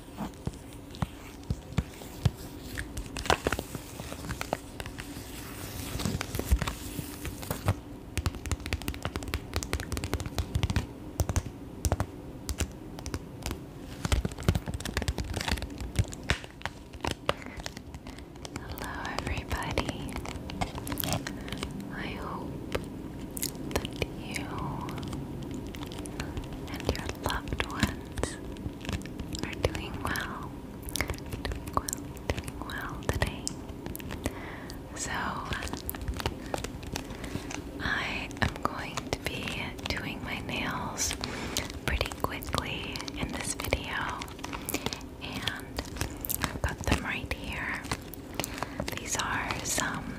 Hello, everybody. I hope that you and your loved ones are doing well. Doing well, today. So, I am going to be doing my nails pretty quickly in this video, and I've got them right here. These are some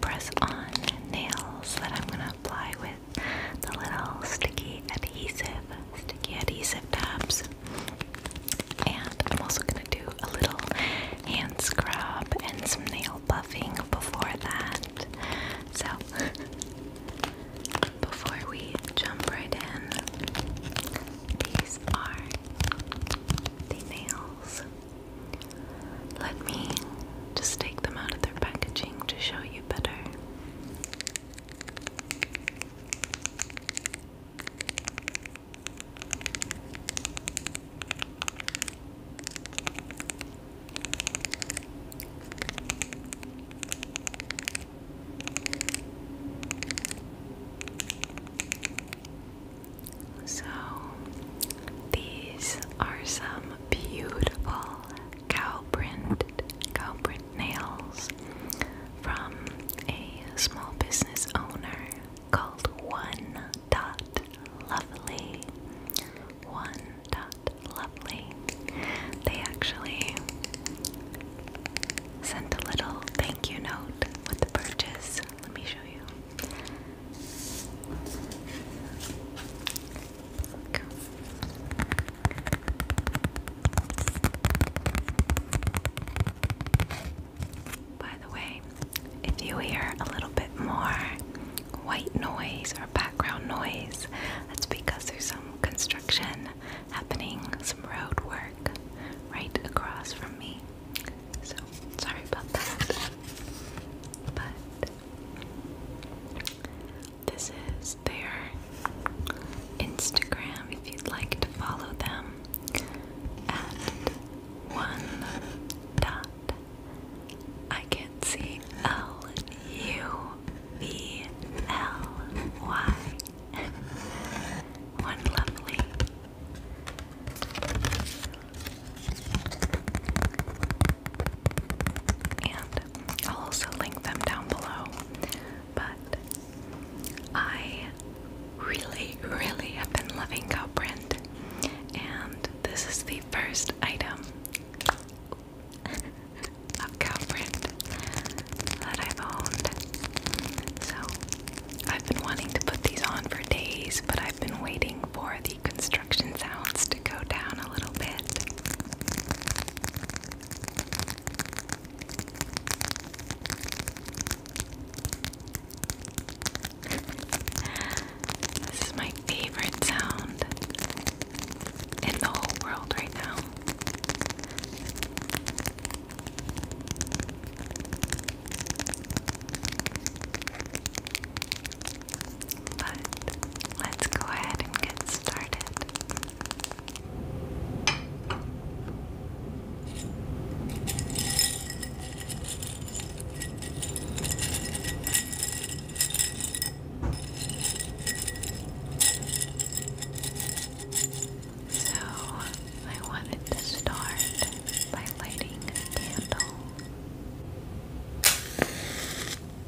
press on nails that I'm going to apply with the little sticky adhesive, sticky adhesive tabs. And I'm also going to do a little hand scrub and some nail buffing before that. So, before we jump right in, these are the nails. Let me just take them out of their packaging to show you better. So, these are some beautiful cow print, cow print nails from a small business owner called One Dot Lovely. One Dot Lovely. They actually sent a little thank you note with the purchase. Let me show you. By the way, if you hear a little bit more white noise or background noise, that's because there's some construction happening, some road work right across from me. So sorry about that. But this is their Instagram if you'd like to follow them at one dot I can't see L U B L Y one lovely and I'll also link them down below. But I really, really have been loving Cowprint, and this is the first item of Cowprint that I've owned. So I've been wanting to put these on for days, but I've been waiting for the construction construction sounds to go down a little bit. This is my favorite sound in the whole world right now. But let's go ahead and get started. So, I wanted to start by lighting a candle.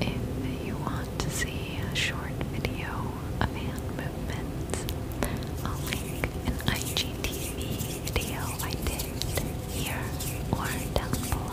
If you want to see a short video of hand movements, I'll link an IGTV video I did here or down below.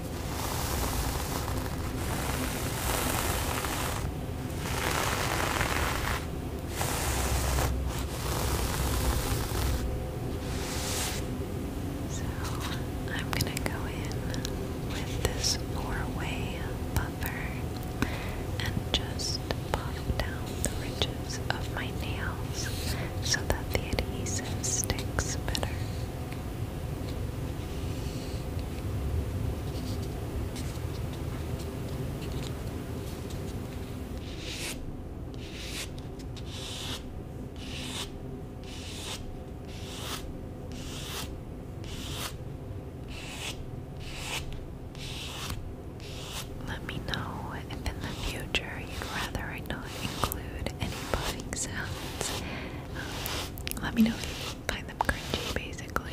So I'm going to go in with this four-way buffer and just buff down the ridges of my nails so that the adhesive sticks better. Let me know in the future you'd rather not include any buzzing sounds. Um, let me know you find them cringy basically.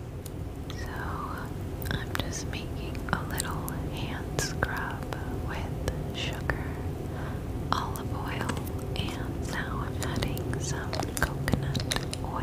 So I'm just making a little hand scrub with sugar, olive oil, and now I'm adding some coconut oil.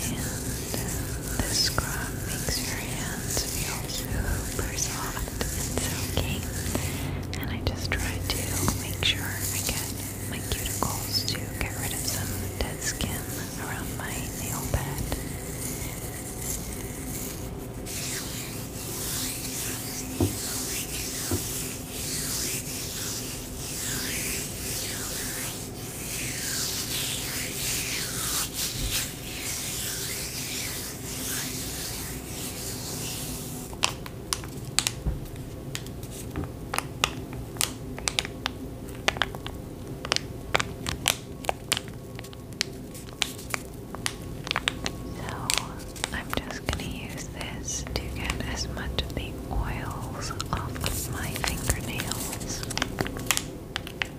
And uh, the scrub makes your hand hands feel super soft and silky. And I just try to make sure I get my cuticles to get rid of some dead skin around my nail bed. So I'm just going to use this to get as much of the oils off my fingernails.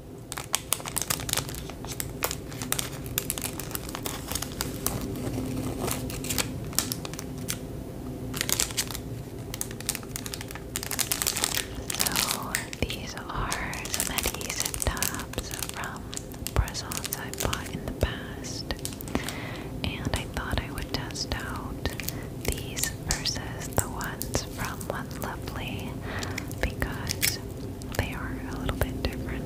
So these are some adhesive tabs from Bristles I bought in the past, and I thought I would test out these versus the ones from One Lovely because they are a little bit different.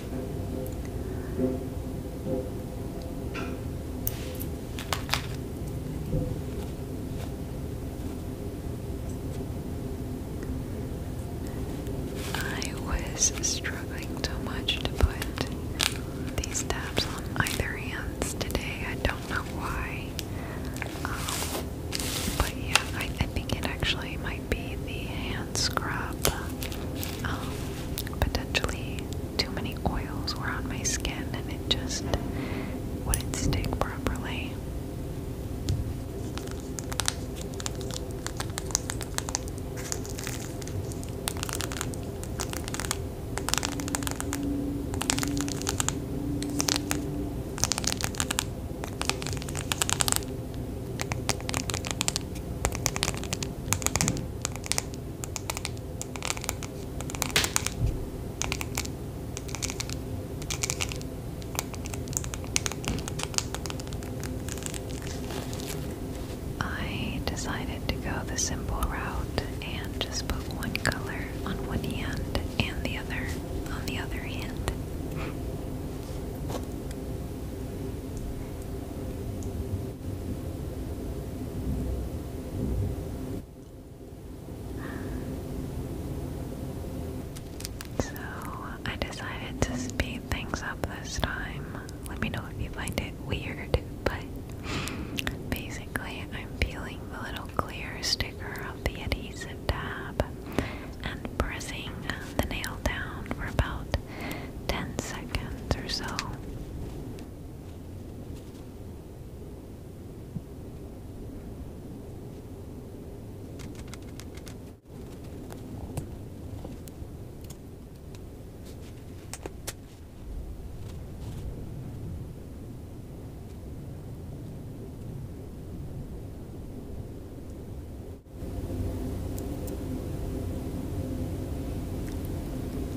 I was struggling so much to put these tabs on either hands today. I don't know why. Um, but yeah, I, think it actually might be the hand hand scrub. Um, potentially too many oils were on my skin and it just wouldn't stick properly. I decided to go the simple route and just put one color on one hand and the other on the other hand. So I decided to speed things up this time. Let me know if you find it weird, but basically I'm peeling the little clear sticker off the adhesive tab and pressing the nail down for about 10 seconds or so.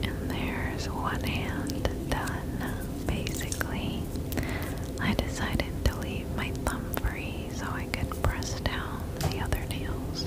And there's one hand done, basically. I decided to leave my thumb free so I could press down the other nails.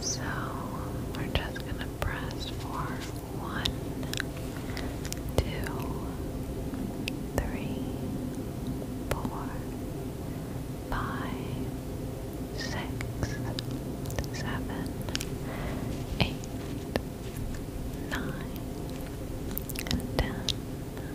So we're just going to press for one, two, three, four, five, six, seven, eight, nine, and ten.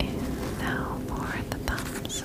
And now for the thumbs.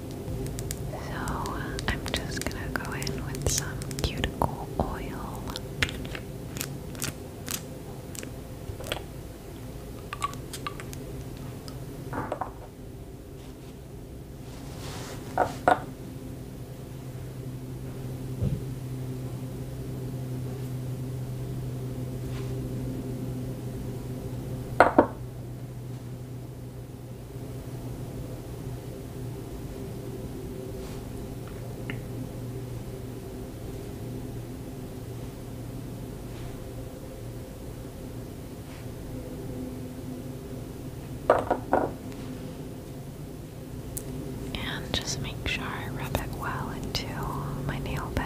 So I'm just gonna go in with some cuticle oil. And just make sure I rub it well into my nail bed.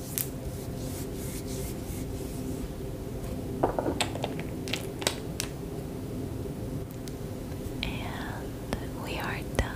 And we are done.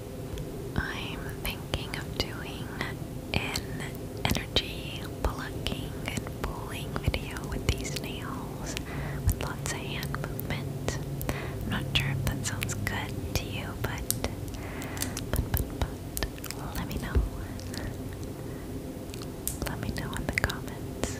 I'm thinking of doing an energy blocking and pulling video with these nails with lots of hand movement. I'm not sure if that sounds good to you, but but but but let me know. Let me know in the comments.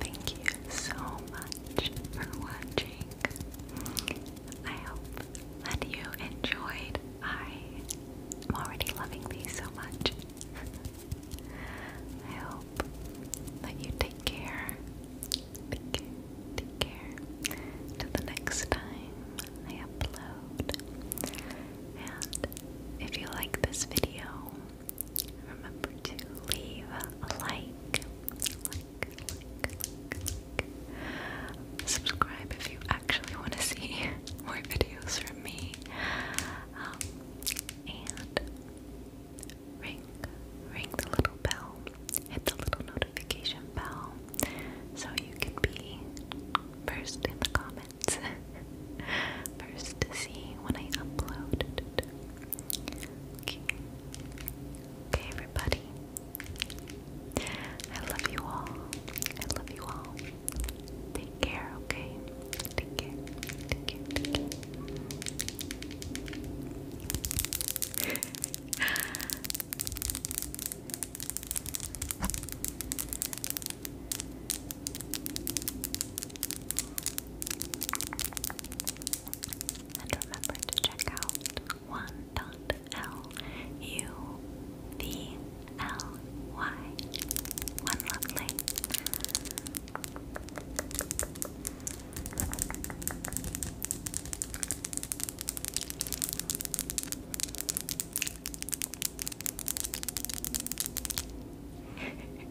Thank you so much for watching. I hope that you enjoyed. I am already loving these so much. I hope that you take care. Take care. Take care. Till the next time I upload. And if you like this video, remember to leave a like, like, like, like, subscribe if you actually want to see more videos from me, um, and ring, ring the little bell, hit the little notification bell, so you can be first in the comments, first to see when I upload. Okay. Okay, everybody. I love you all. I love you all. Take care, okay? Take care. Take care. Take care. And remember to check out one dot L U V L Y. One lovely.